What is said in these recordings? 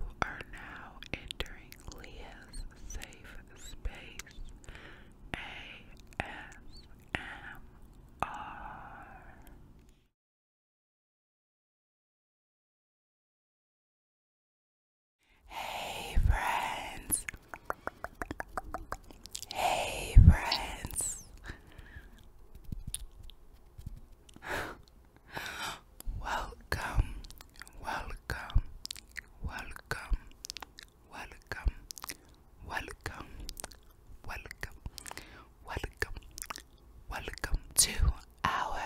We are now entering Leah's safe space ASMR. Hey, friends! Hey, friends! Welcome, welcome, welcome, welcome, welcome, welcome, welcome, welcome to our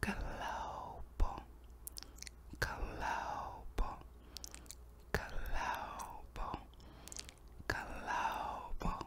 global, global, global, global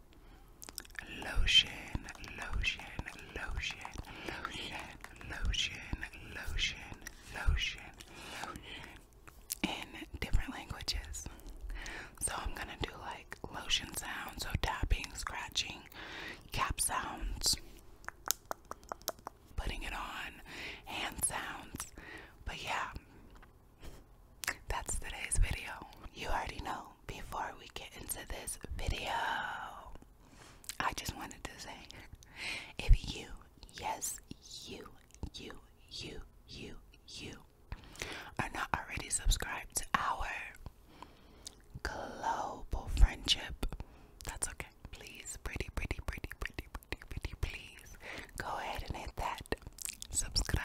Lotion, lotion, lotion, lotion, lotion, lotion, lotion, lotion. In different languages. So I'm gonna do like lotion sounds, so tapping, scratching, cap sounds, putting it on, hand sounds. But yeah, that's today's video. You already know before we get into this video, I just wanted to say if you, yes, you, you, you, you, you are not already subscribed to our global friendship, that's okay. Please, pretty, pretty, pretty, pretty, pretty, pretty, please go ahead and hit that subscribe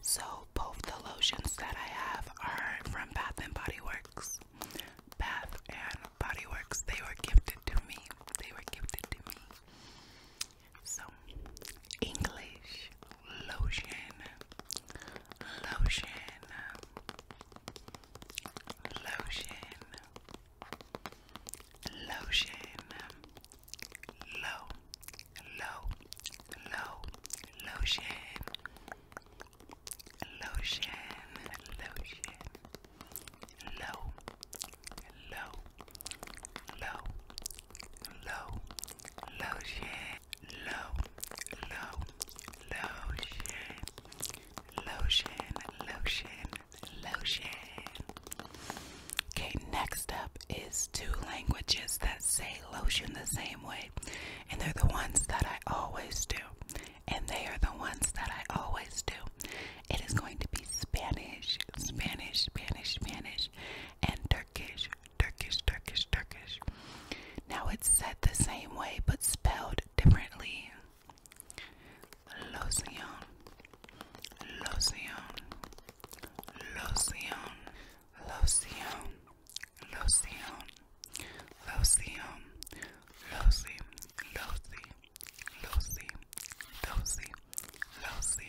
So both the lotions that I have are from Bath and Body Works. Bath and Body Works. They were gifted to me. They were gifted to me. So English lotion. Lotion. Lotion. Lotion. Lotion low, low, lotion, lotion, lotion, low, low, low, low, lotion, low, low, lotion, lotion, lotion, lotion. Okay, next up is two languages that say lotion the same way. And they're the ones that I always do. And they are the ones that I always do. It is going to be Spanish, Spanish, Spanish, Spanish, and Turkish, Turkish, Turkish, Turkish. Now it's said the same way but spelled differently. Lotion, lotion, lotion, lotion, loción, loción, losi, losi, losi, losi, losi,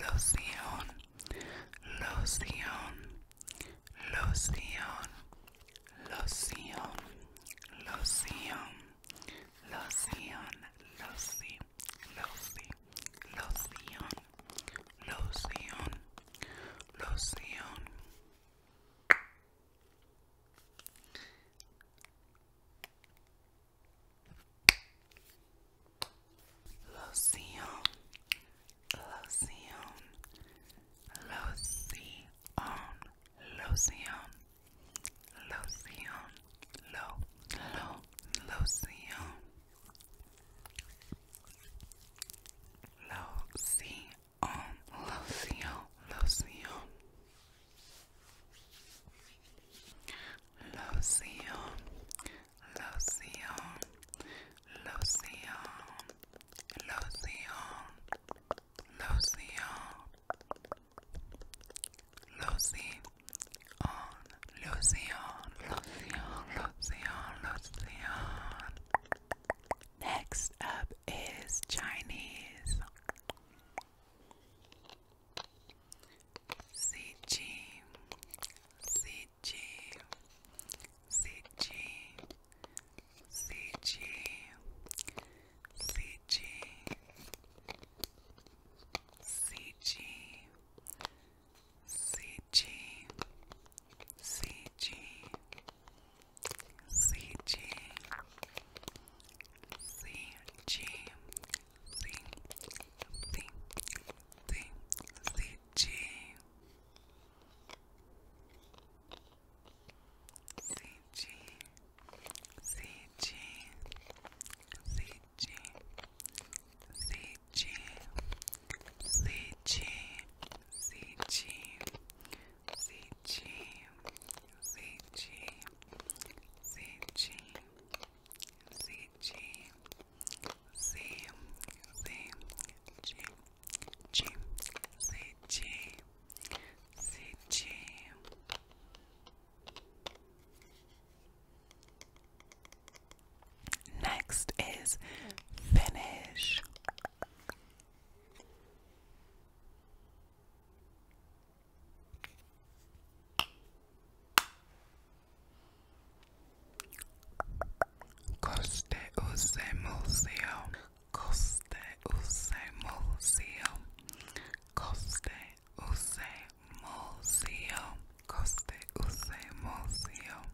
loción, loción, loción, loción, loción, loción, losi, losi, loción, loción, loción. Loción, loción, loción, loción, loción, lo, lo, loción. Loción, loción, loción. Loción, loción, loción, loción, loción, loción, Lucian, Lucian, Lucian, Lucian. Next up is Chinese. CG, CG, CG, CG, CG, CG, CG, CG, CG, CG, CG, CG, CG, CG, CG, CG, C, C, G, G, CG, CG. Next is finish. Coste museum. Coste museum. Coste museum. Coste museum.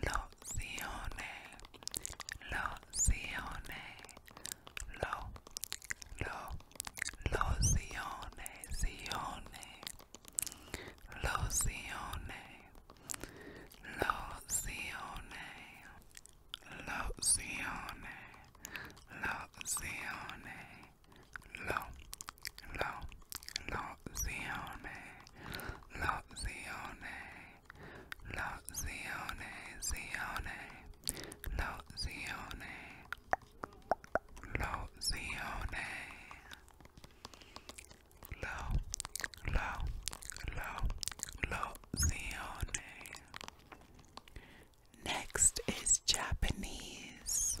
lozione, lozione, lo, lo, lozione, zione, lozione, lozione, lozione, lozione, lo, lo, lozione. Lozione, Lozione, Zione, Lozione, Lozione, Lo, Lo, Lo, Lozione. Next is Japanese.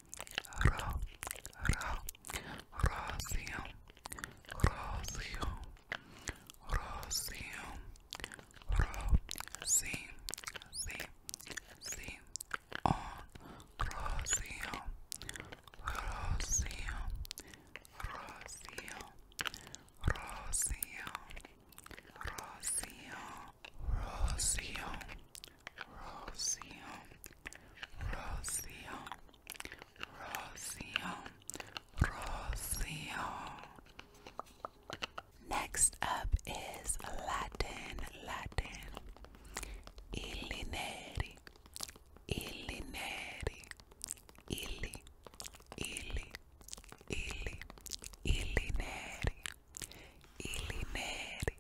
Ra, ra, rocío, rocío, rocío, ro, sí, sí, sí, on, rocío, rocío, rocío, rocío, rocío, rocío. Rocio, Rocio, Rocio, Rocio. Next up is Latin, Latin. Illi neri, illi neri, illi, illi, illi, illi neri, illi neri,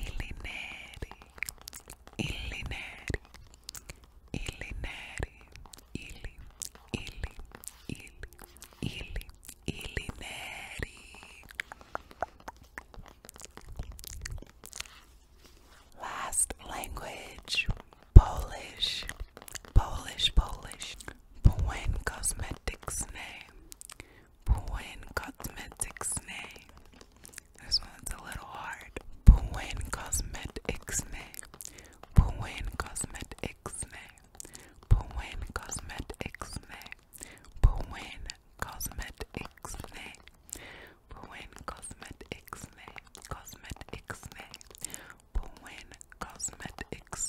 Illineri, Illineri, Illineri, Illi, Illi, Illi, Illi, Illineri. Last language, Polish, Polish, Polish. Buen Cosmetics Puin Cosmetics Ne. This one's a little hard. Puin Cosmetics Ne. Puin Cosmetics Ne. Puin Cosmetics Ne. Puin Cosmetics Ne. Puin Cosmetics Ne. Cosmetics Ne. Puin Cosmetics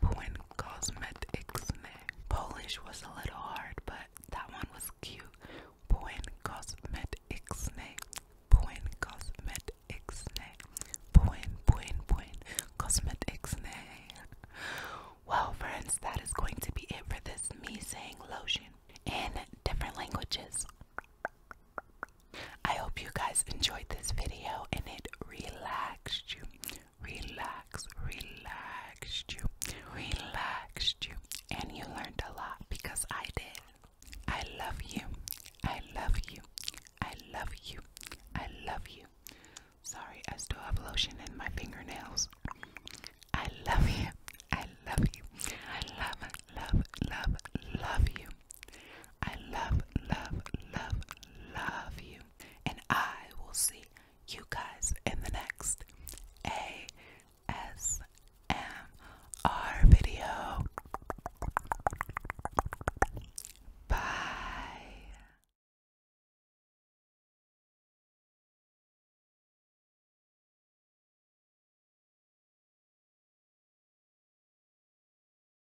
Buen Cosmetics. Polish was a little hard, but that one was cute. Buen Cosmetics. Buen Cosmetics. Buen, buen, buen Cosmetics. Well, friends, that is going to be it for this me saying lotion in different languages. I hope you guys enjoyed this video and it relaxed you. Relax, relaxed you, relaxed you, and you learned a lot because I did. I love you. I love you. I love you. I love you. Sorry, I still have lotion in my fingernails. I love you. I love you. I love, love, love, love you. I love, love, love, love you. And I will see you guys in the next ASMR video. Bye.